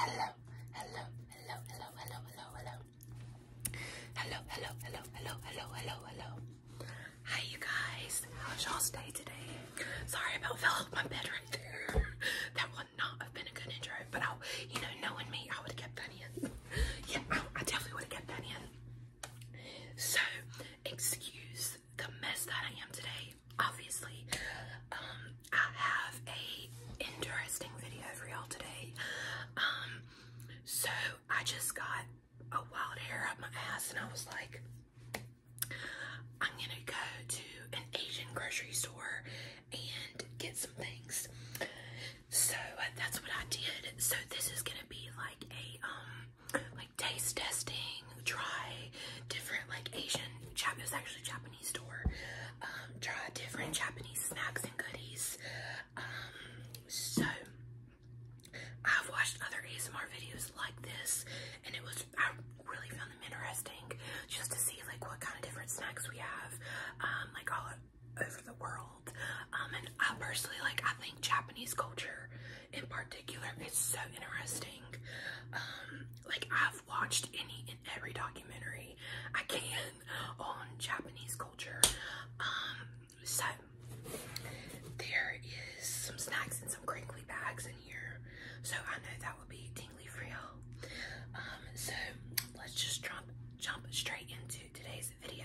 Hello, hello, hello, hello, hello, hello, hello. Hello, hello, hello, hello, hello, hello, hello. Hi you guys. How's y'all's day today? Sorry about fell off my bed right there. That would not have been a good intro, but I, you know, knowing me, I would have kept that in. yeah, I, I definitely would have kept that in. So, excuse the mess that I am today. Obviously, um, I have a interesting video for y'all today. Um, so I just got a wild hair up my ass, and I was like, I'm gonna go to an Asian grocery store and get some things. So uh, that's what I did. So this is gonna be like a um like taste testing, try different like Asian Japanese actually Japanese store. Um, try different Japanese snacks and goodies. Um so I've watched other ASMR videos like this and it was I really found them interesting just to see like what kind of different snacks we have. Um like all over the world. Um, and I personally like, I think Japanese culture in particular is so interesting. Um, like I've watched any and every documentary I can on Japanese culture. Um, so there is some snacks and some crinkly bags in here. So I know that will be tingly for so let's just jump, jump straight into today's video.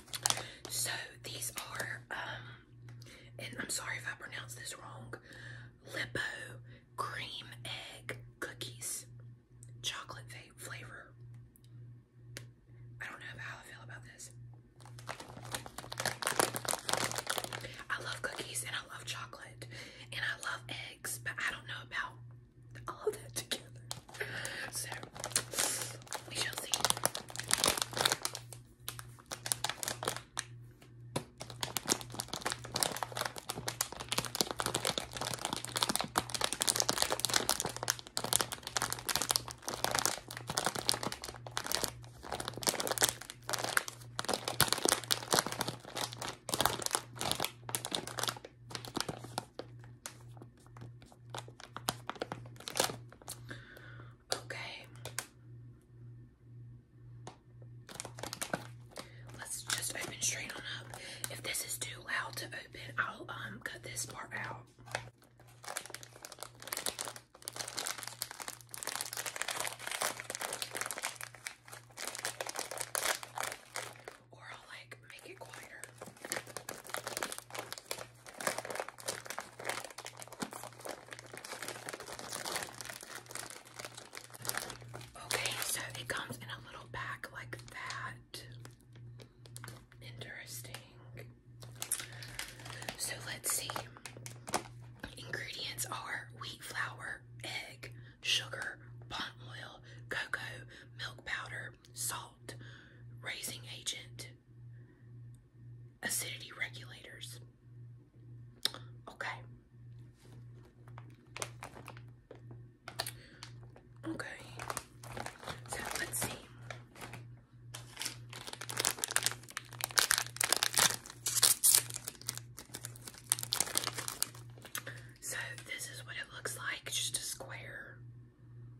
So these are, um, and I'm sorry if I pronounce this wrong, Lipo cream egg cookies, chocolate flavor. I don't know how I feel about this. I love cookies and I love chocolate and I love eggs, but I don't know about all that together. So we shall see. Okay. Let's just open straight on up. If this is too loud to open, I'll um cut this part out. Or I'll like make it quieter. Okay, so it comes in a little pack like that. Interesting. So let's see. Ingredients are wheat flour, egg, sugar, palm oil, cocoa, milk powder, salt, raising agent, acidity regulators. Okay. Okay. So let's see. So this is what it looks like, just a square.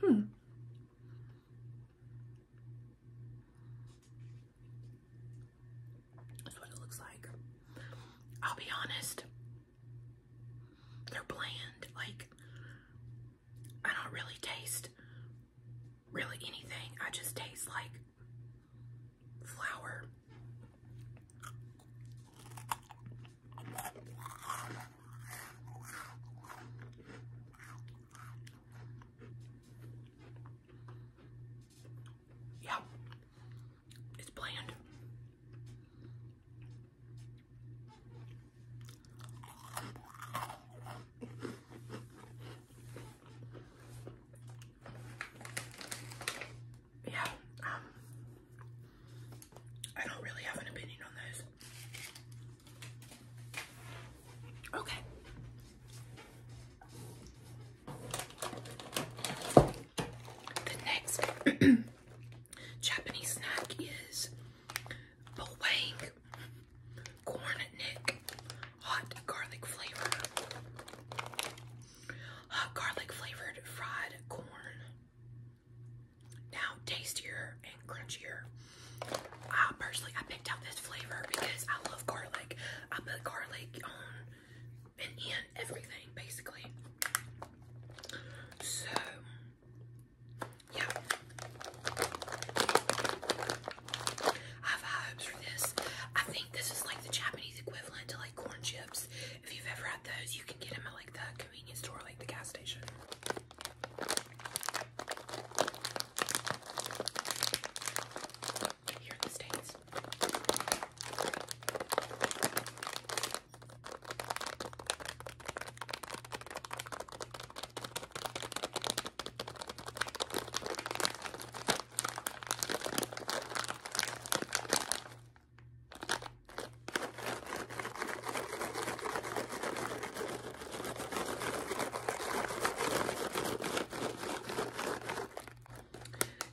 Hmm. That's what it looks like. I'll be honest. They're bland. Like I don't really taste really anything. I just taste like flour. Yeah, it's bland. Yeah, um, I don't really have an opinion on those. Okay. The next Japanese snack is Bowang corn nick hot garlic flavor. Hot garlic flavored fried corn. Now tastier and crunchier. I personally I picked out this flavor because I love garlic. I put garlic on and in everything basically. So yeah. I have high for this. I think this is like the Japanese equivalent to like corn chips. If you've ever had those, you can get them at like the convenience store, like the gas station. Here in the States.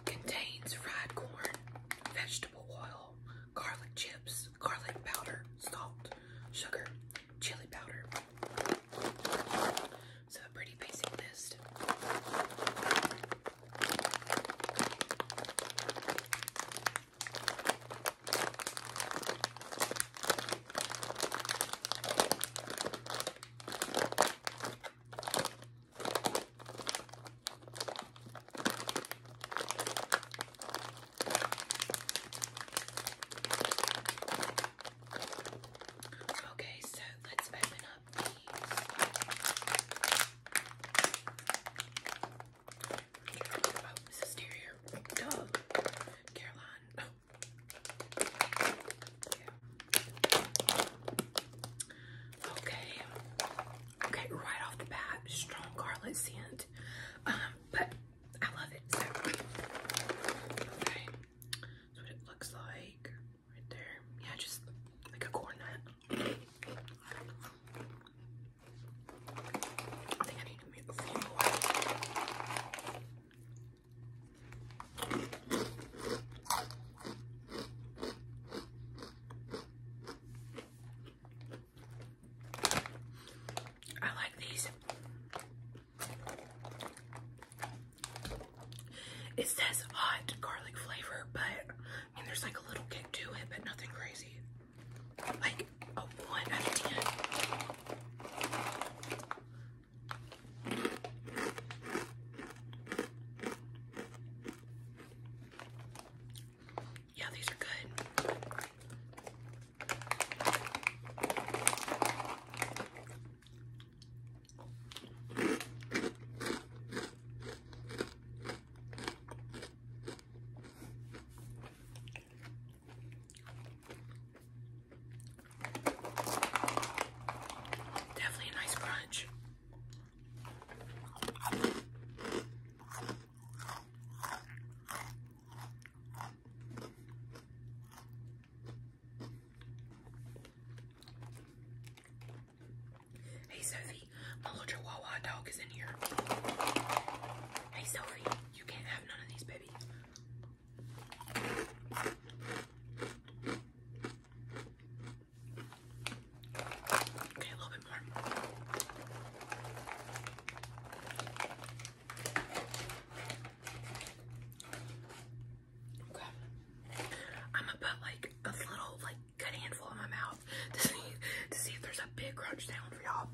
Contains fried corn, vegetable oil, garlic chips, garlic powder, salt, sugar, chili powder, so a pretty basic list. Okay, so let's open up these. Oh, Mrs. Terrier. Caroline. Okay. Okay, right off the bat, strong garlic scent. Um, but I love it. So, okay, that's what it looks like right there. Yeah, just like a cornet. I think I need to make a few more. I like these. It says hot garlic flavor, but I mean, there's like a little kick to it, but nothing crazy. Like a 1 out of 10. Yeah, these are good. Definitely a nice crunch. Hey Sophie, my little Chihuahua dog is in here. Hey Sophie, you can't have none of these, baby. Okay, a little bit more. Okay. I'm gonna put like a little, like, good handful in my mouth to see to see if there's a big crunch down for y'all.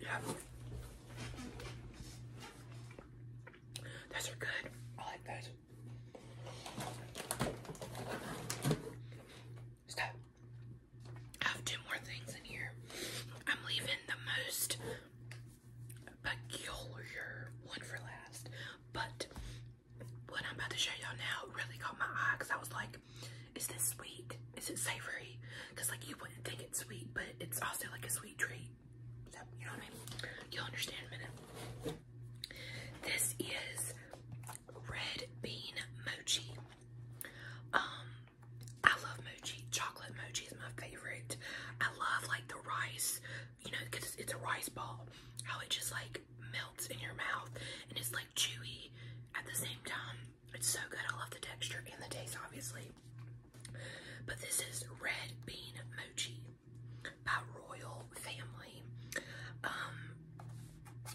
Yeah. Those are good. I like those. So, I have two more things in here. I'm leaving the most peculiar one for last. But what I'm about to show y'all now really caught my eye because I was like, is this sweet? Is it savory? Because like you wouldn't think it's sweet, but it's also like a sweet treat. you know what I mean? You'll understand in a minute. This is red bean mochi. Um, I love mochi chocolate mochi is my favorite. I love like the rice, you know, because it's a rice ball. How it just like melts in your mouth and it's like chewy at the same time. It's so good. I love the texture and the taste, obviously. But this is red bean mochi by Royal Family. Um,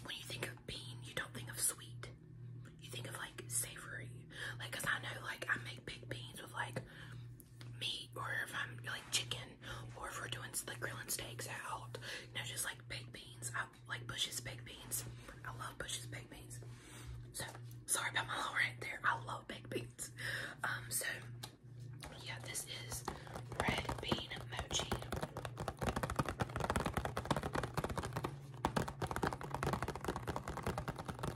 when you think of bean, you don't think of sweet. You think of like savory. Like, I know like I make big beans with like meat or if I'm like chicken or if we're doing like grilling steaks out, you know, just like baked beans. I like Bush's baked beans. I love Bush's baked beans. So sorry about my little rant there. I love baked beans. Um, so yeah, this is red bean mochi.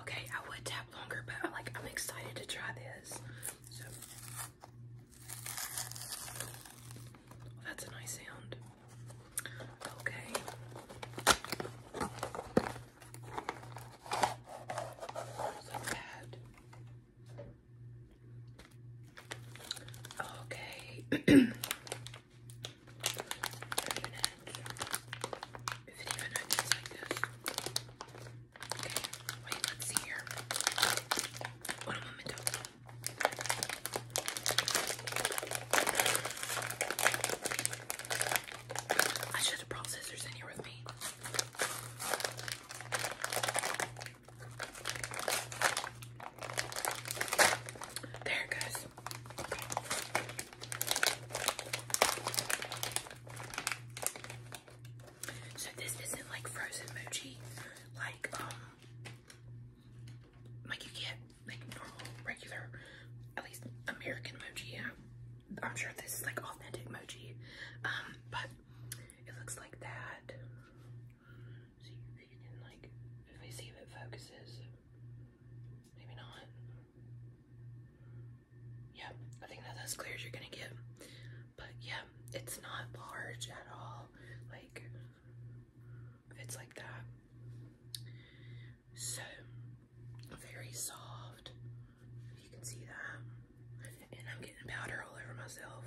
Okay, I would tap longer, but am like I'm excited to try this. So oh, that's a nice sound. Okay. So bad. Okay. wait, let's see here. One moment. I should have brought scissors in here with me. There it goes. So this isn't like frozen mochi, like um, like you get like normal, regular, at least American mochi. Yeah, I'm sure this is like authentic mochi. Um, but it looks like that. See if it focuses. Maybe not. Yeah, I think that's as clear as you're gonna get. But yeah, it's not large at all. Like it's like that. So very soft. you can see that. And I'm getting powder all over myself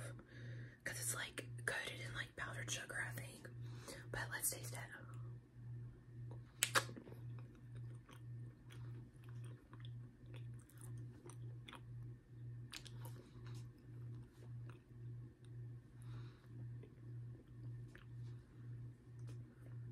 because it's like coated in like powdered sugar, I think. But let's taste it.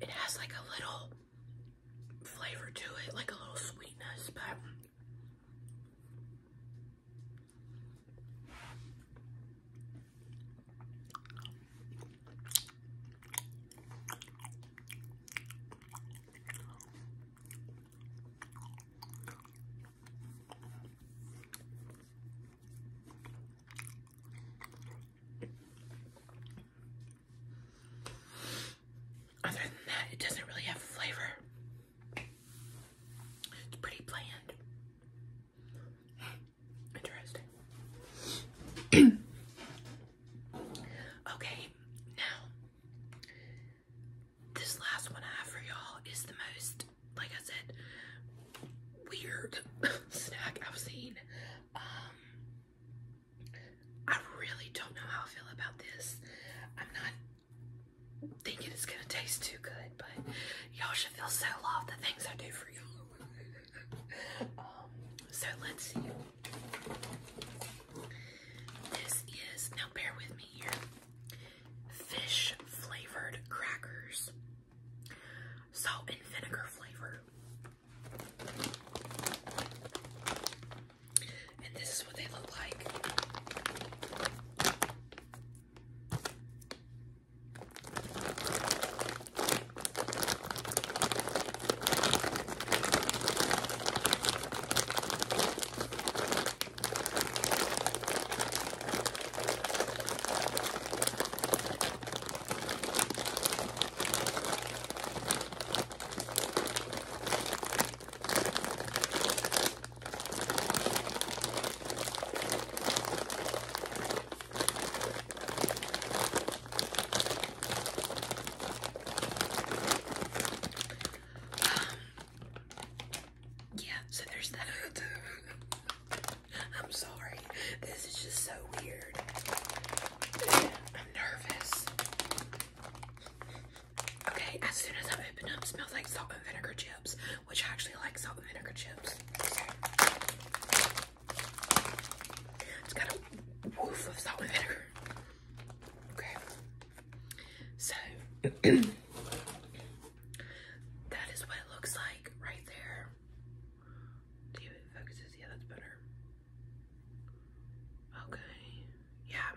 It has like a little flavor to it, like a little sweetness, but other than that, it doesn't really have flavor. It's pretty bland. Interesting. okay, now this last one I have for y'all is the most, like I said, weird snack I've seen. Um, I really don't know how I feel about this. I'm not thinking it's gonna taste too good, but y'all should feel so loved the things I do for y'all. Um, so let's see. This is now bear with me here. Fish flavored crackers. Salt and vinegar flavor. And this is what they look like. Um, yeah, so there's that. I'm sorry. This is just so weird. I'm nervous. Okay, as soon as I open them, smells like salt and vinegar chips, which I actually like salt and vinegar chips. It's got a woof of salt and vinegar. Okay. So that is what it looks like right there. See it focuses. Yeah, that's better. Okay. Yeah.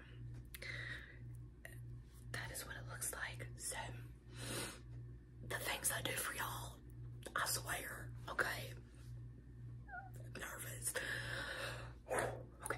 That is what it looks like. So, the things I do for y'all, I swear. Okay. nervous. Okay.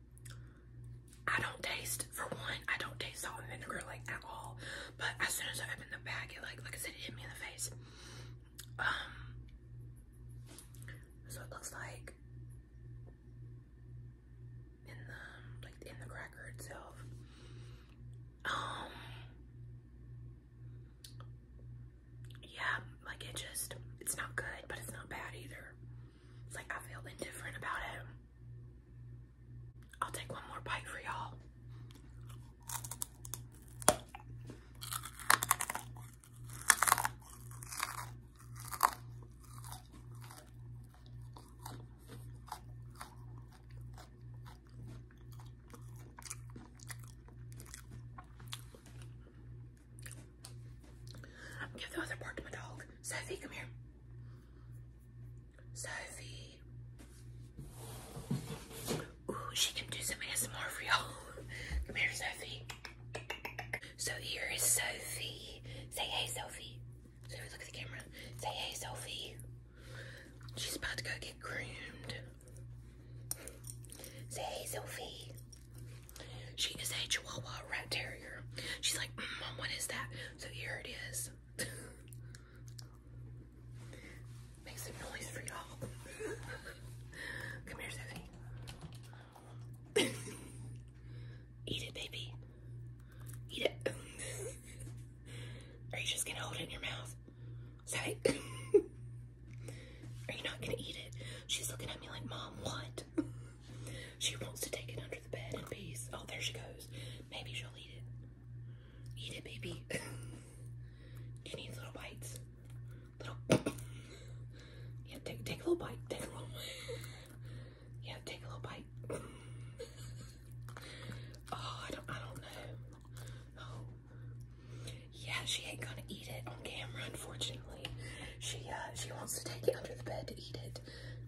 I don't taste, for one, I don't taste salt and vinegar like at all. But as soon as I open the bag, it like, like I said, hit me in the face. Um, so it looks like in the, like in the cracker itself. Um, yeah, like it just, it's not good, but it's not bad either. It's like I feel indifferent about it. I'll take one more bite for y'all. Give the other part to my dog. Sophie, come here. Sophie. Ooh, she can do some ASMR Come here, Sophie. So here is Sophie. Say hey, Sophie. Sophie, look at the camera. Say hey, Sophie. She's about to go get groomed. Say hey, Sophie. She is a Chihuahua rat terrier. She's like, mm, Mom, what is that? So here it is. Make some noise for y'all. Come here, Sophie. Eat it, baby. Eat it. Are you just gonna hold it in your mouth? Sorry. Are you not gonna eat it? She's looking at me like, Mom, what? She wants to take it under the bed in peace. Oh, there she goes. Maybe she'll eat it. Eat it, baby. you need little bites. Little. Yeah, take take a little bite. Take a little. yeah, take a little bite. oh, I don't. I don't know. Oh. Yeah, she ain't gonna eat it on camera, unfortunately. She uh, she wants to take it under the bed to eat it.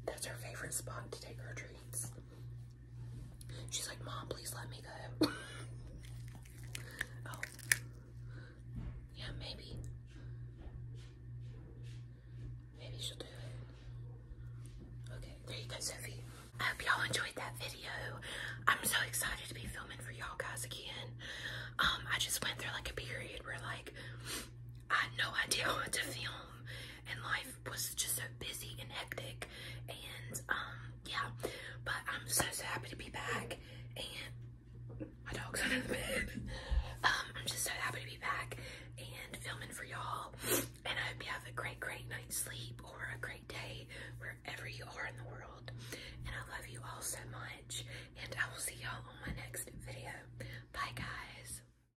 That's her favorite spot to take her treat. She's like, Mom, please let me go. Oh. Yeah, maybe. Maybe she'll do it. Okay, there you go, Sophie. I hope y'all enjoyed that video. I'm so excited to be filming for y'all guys again. Um, I just went through like a period where like I had no idea what to film and life was just so busy and hectic and um yeah but I'm so, so happy to be back and my dog's under the bed um I'm just so happy to be back and filming for y'all and I hope you have a great great night's sleep or a great day wherever you are in the world and I love you all so much and I will see y'all on my next video bye guys